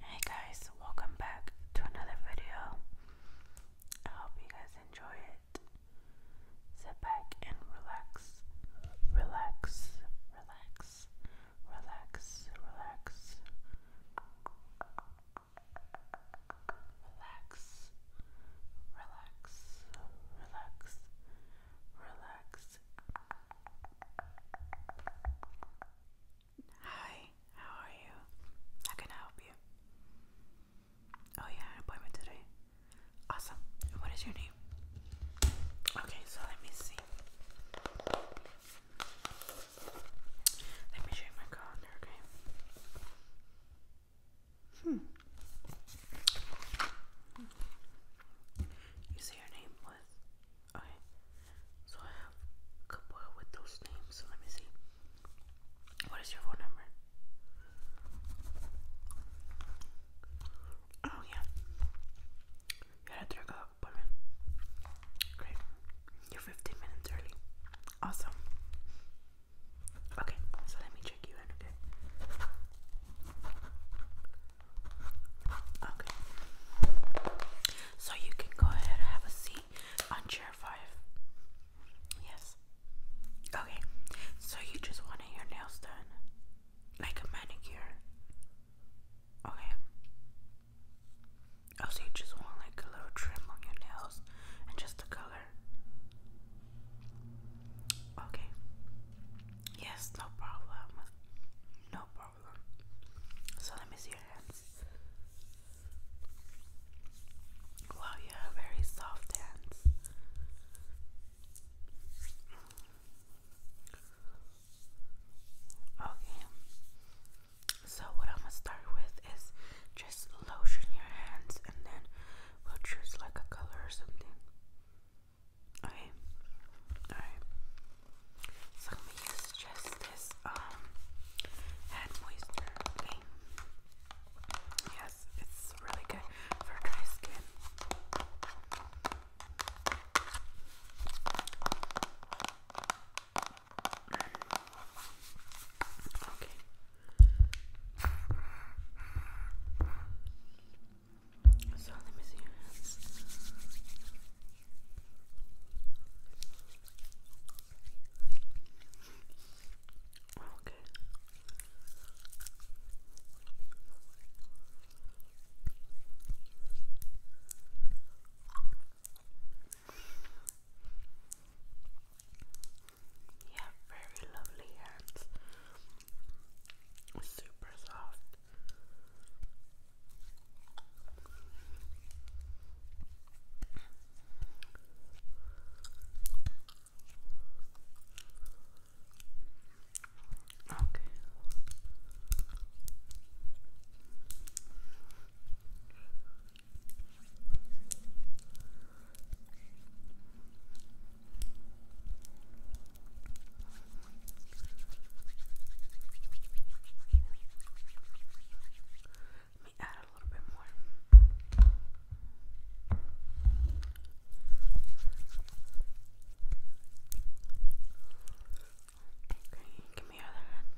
Hey guys, welcome back to another video. I hope you guys enjoy it. Sit back and relax. Relax, relax, relax, relax. Relax, relax, relax, relax, Hi, how are you? How can I help you? Oh, yeah, appointment today. Awesome. What is your name? Okay, so let me see. Let me show you my calendar, okay? Hmm. You say her name was? Okay. So I have a couple with those names. So let me see. What is your phone number? Oh, yeah. You had a drug appointment. Great. You're 15 minutes early. Awesome. Okay, so let me okay? Okay. So you can go ahead and have a seat on chair five. Yes. Okay. So you just wanted your nails done. Like a manicure. Okay. Oh, you just want like a little trim on your nails and just the color. Okay. Yes, no problem. No problem. So let me see your hands. Wow, you have very soft hands. Okay. So what I'm gonna start with is just lotion your hands and then we'll choose like a color or something. Okay. Alright. So i use just this um hand moistener. Okay. Yes, it's really good for dry skin. Okay. So let me see your oh, hands. Okay. You have very lovely hands. Super soft. Okay. Okay. Let me add a little bit more. Okay, give me your other hand.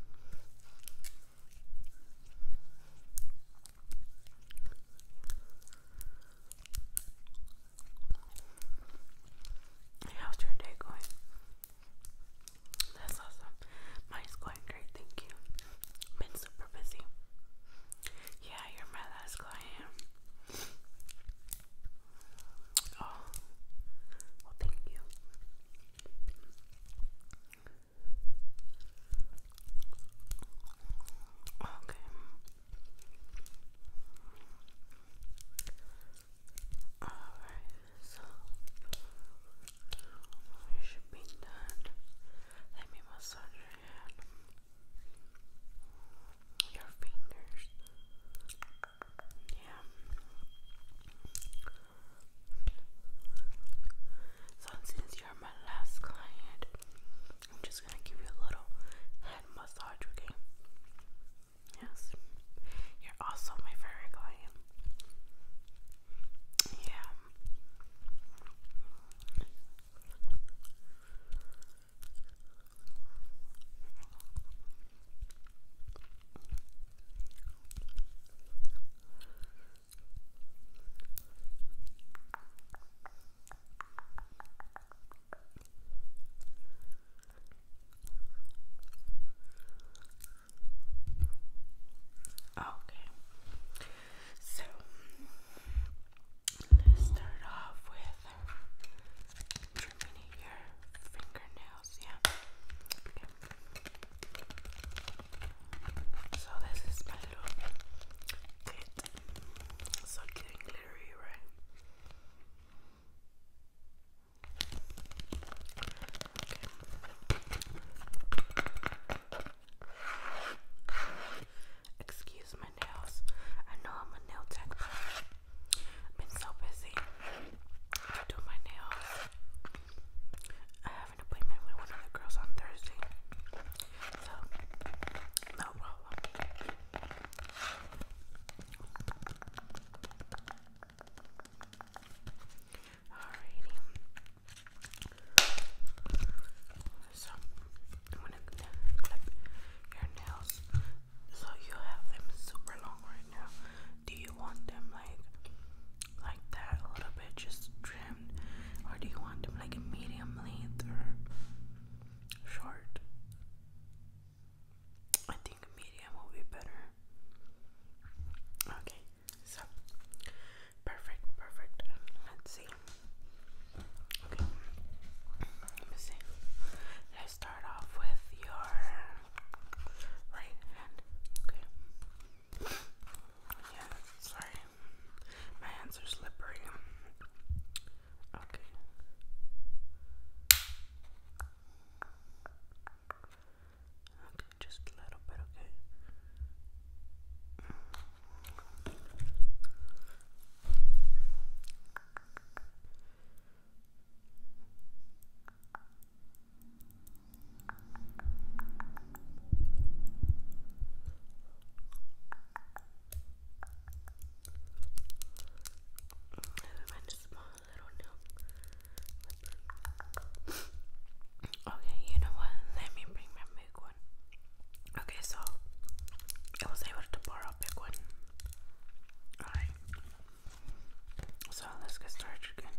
How's your day going? That's awesome. Mine's going great, thank you. Been super busy. Yeah, you're my last client. Oh, well, thank you. Okay. Alright, so we should be done. Let me massage your fingers. Yeah. So since you're my last client, I'm just gonna give you a little head massage, okay? Yes, you're also my favorite client. Yeah. Okay, so let's start off with trimming your fingernails. Yeah, so this is my little kit. So cute glittery, right? Excuse my nails. I know I'm a nail tech, been so busy. I my nails. I have an appointment with one of the girls on Thursday. So, no problem. Alrighty. So, I'm gonna clip your nails. So, you have them super long right now. Do you want them like like that a little bit, just trimmed, or do you want like a medium length or short? I think medium will be better. Okay, so perfect, perfect. Let's see. Okay, let me see. Let's start off with your right hand. Okay. Yeah, sorry. My hands are slippery. Okay. Okay, just a little bit, okay? okay, you know what? Let me bring my big one. Okay, so I was able to borrow a big one. Alright. So let's get started again.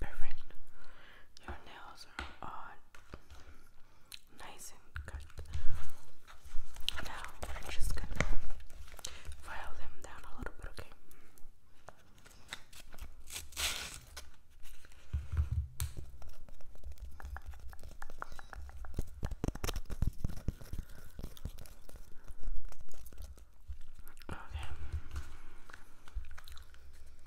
Perfect. Your nails are on. Nice and cut. Now we're just gonna file them down a little bit, okay? Okay.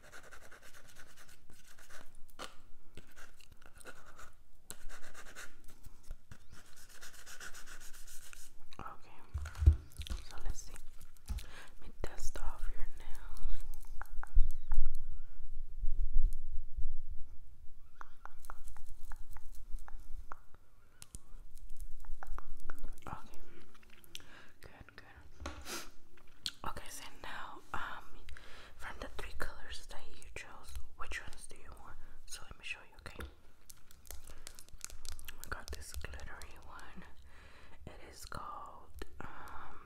Okay, so let's see. Let me dust off your nails. Okay, good. Okay, so now, um, from the three colors that you chose, which ones do you want? So let me show you, okay? I got this glittery one. It is called, um,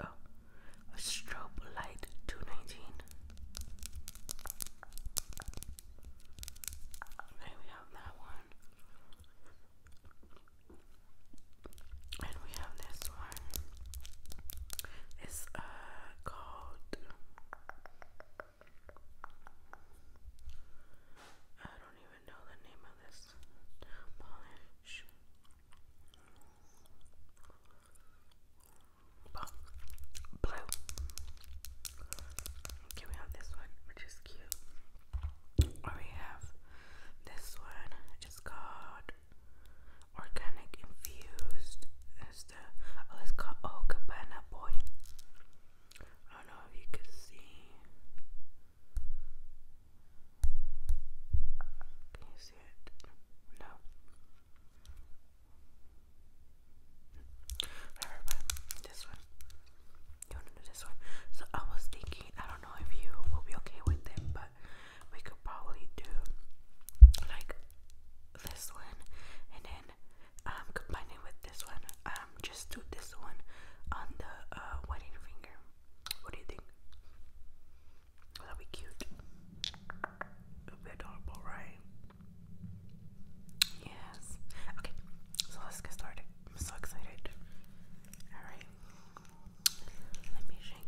oh, a strobe light 219. Okay, we have that one. And we have this one. It's uh called I don't even know the name of this polish. But blue. Okay, we have this one, which is cute we have this one, it's called Organic Infused. It's the oh, it's called Oh Cabana Boy. I don't know if you can see. Can you see it? No. Whatever, this one. So I was thinking, I don't know if you will be okay with it, but we could probably do like this one and then um combine it with this one. Um just do this one on the uh, wedding finger. What do you think? Well, that'd be cute. It'll adorable, right? Yes. Okay, so let's get started. I'm so excited. Alright. Let me shake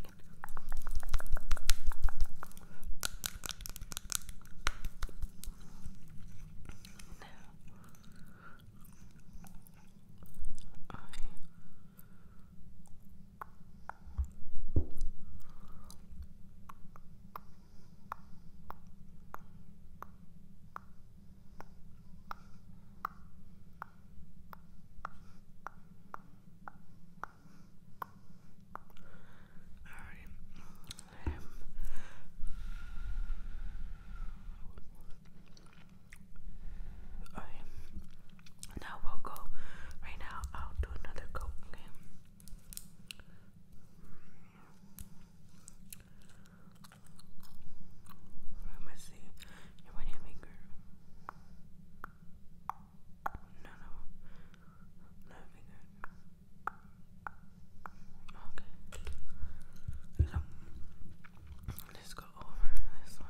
right. Um, okay. Now we'll go. Right now, I'll do another coat. Okay. I must see your No, no, finger. Okay. let's go over this one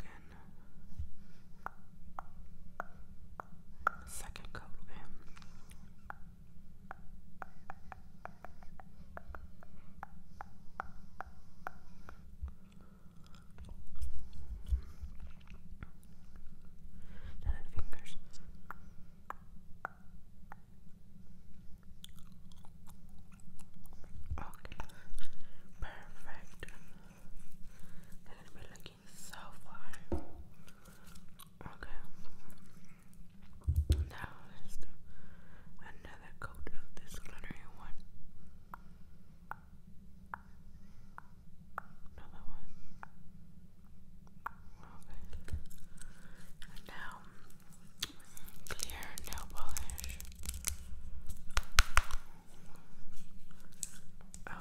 again. Second coat fingers. Okay, perfect. gonna be like looking so fly. Okay. Now let another coat of this glittery one. Another one. Okay. now clear nail polish. Okay.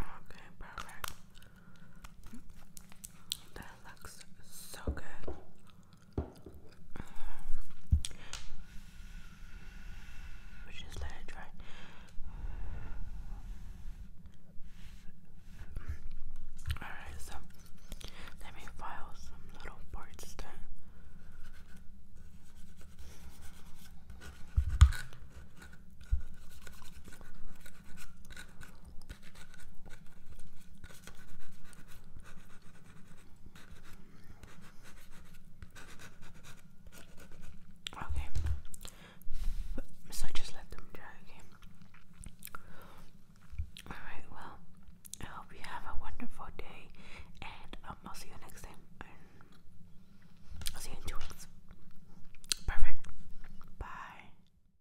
Okay, perfect. That looks so good. We just let it dry. Alright, so let me file some little parts that. Okay, so just let them dry, Alright, well, I hope you have a wonderful day, and um, I'll see you next time. I'll see you in two weeks. Perfect. Bye.